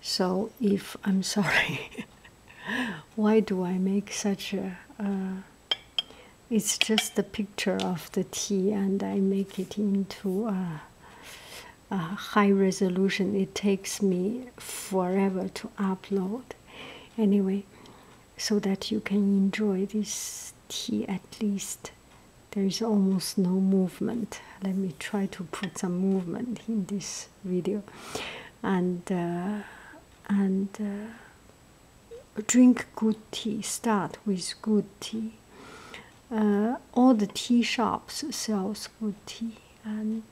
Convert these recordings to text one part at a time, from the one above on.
So, if I'm sorry, why do I make such a? it's just the picture of the tea, and I make it into a high resolution. It takes me forever to upload. Anyway, so that you can enjoy this tea at least there's almost no movement. Let me try to put some movement in this video, and uh, and uh, drink good tea. Start with good tea. Uh, all the tea shops sell good tea, and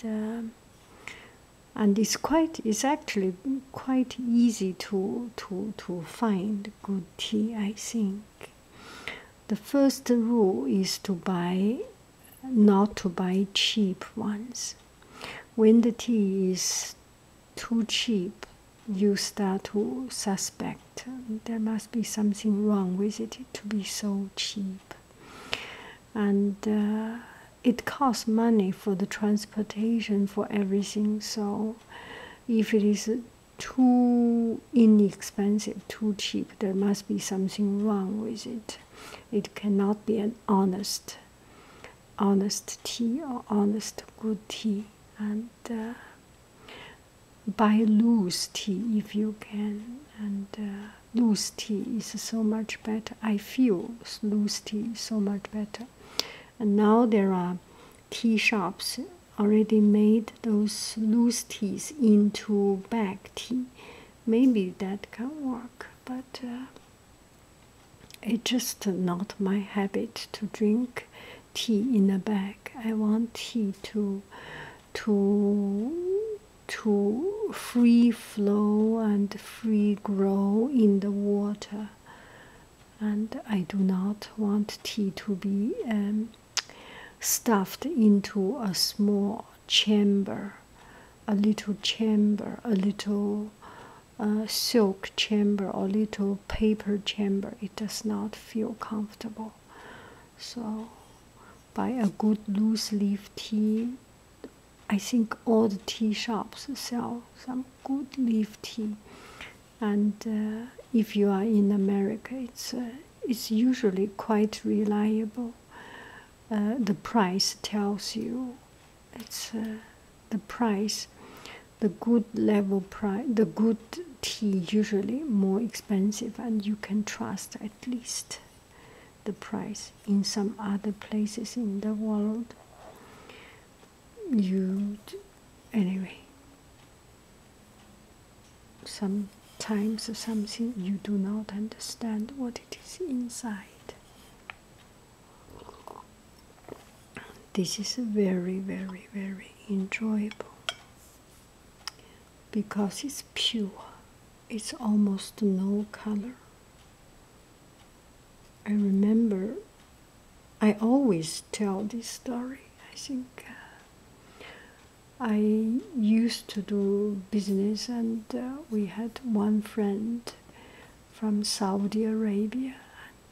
and it's quite it's actually quite easy to to to find good tea. I think the first rule is to buy not to buy cheap ones when the tea is too cheap you start to suspect there must be something wrong with it to be so cheap and uh, it costs money for the transportation for everything so if it is too inexpensive, too cheap. There must be something wrong with it. It cannot be an honest, honest tea or honest good tea. And uh, buy loose tea if you can. And uh, loose tea is so much better. I feel loose tea is so much better. And now there are tea shops already made those loose teas into bag tea. Maybe that can work, but uh, it's just not my habit to drink tea in a bag. I want tea to to to free flow and free grow in the water and I do not want tea to be um, stuffed into a small chamber, a little chamber, a little uh, silk chamber, or little paper chamber. It does not feel comfortable. So, buy a good loose leaf tea. I think all the tea shops sell some good leaf tea and uh, if you are in America, it's uh, it's usually quite reliable. Uh, the price tells you it's the price, the good level price, the good tea usually more expensive, and you can trust at least the price. In some other places in the world, you anyway sometimes something you do not understand what it is inside this is very very very enjoyable because it's pure it's almost no color i remember I always tell this story. I think uh, I used to do business, and uh, we had one friend from Saudi Arabia,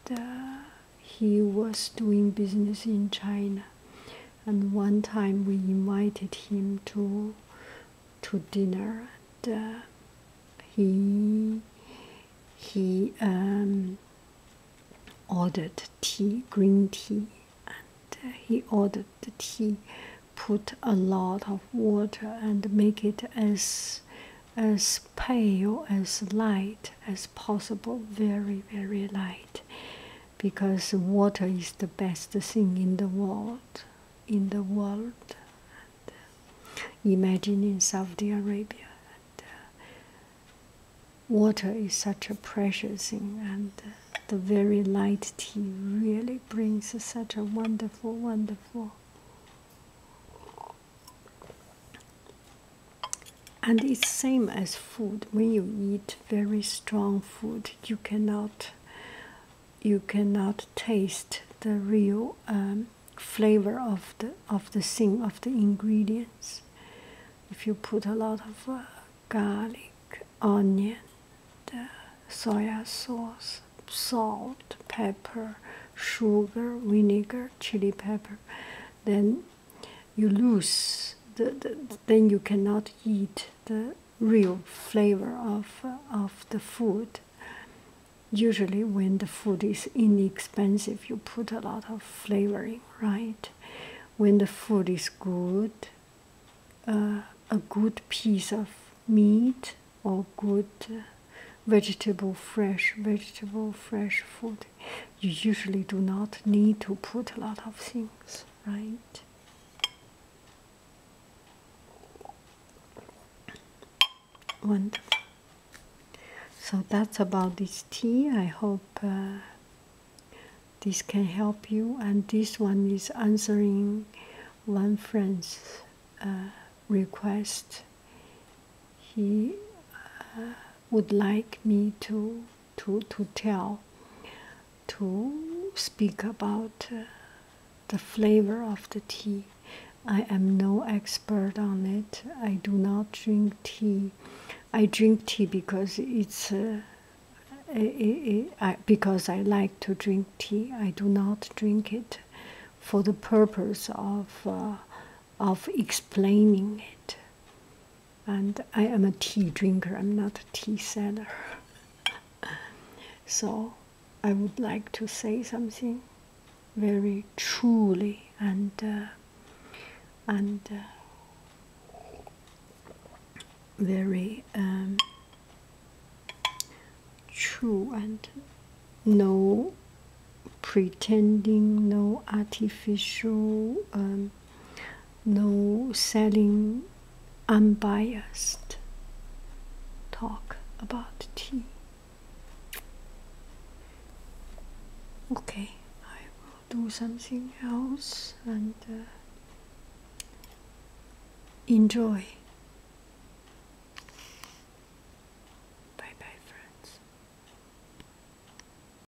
and uh, he was doing business in China. And one time we invited him to to dinner and uh, he he um, ordered tea green tea and uh, he ordered the tea put a lot of water and make it as as pale as light as possible very very light because water is the best thing in the world in the world uh, imagine in Saudi Arabia, uh, water is such a precious thing, and uh, the very light tea really brings such a wonderful, wonderful. And it's same as food. When you eat very strong food, you cannot you cannot taste the real um, flavor of the of the thing of the ingredients. If you put a lot of uh, garlic, onion, the soy sauce, salt, pepper, sugar, vinegar, chili pepper, then you lose the, the then you cannot eat the real flavor of of the food. Usually, when the food is inexpensive, you put a lot of flavoring, right? When the food is good, uh, a good piece of meat or good vegetable, fresh vegetable, fresh food, you usually do not need to put a lot of things, right? Wonderful. So that's about this tea. I hope uh, this can help you. And this one is answering one friend's uh, request. He uh, would like me to to to tell to speak about uh, the flavor of the tea. I am no expert on it. I do not drink tea. I drink tea because it's uh, I, because I like to drink tea. I do not drink it for the purpose of uh, of explaining it and I am a tea drinker, I'm not a tea seller. so I would like to say something very truly and uh, and uh, very um, true and no pretending, no artificial um, no selling unbiased talk about tea. Okay, I will do something else and uh, enjoy. Bye bye, friends.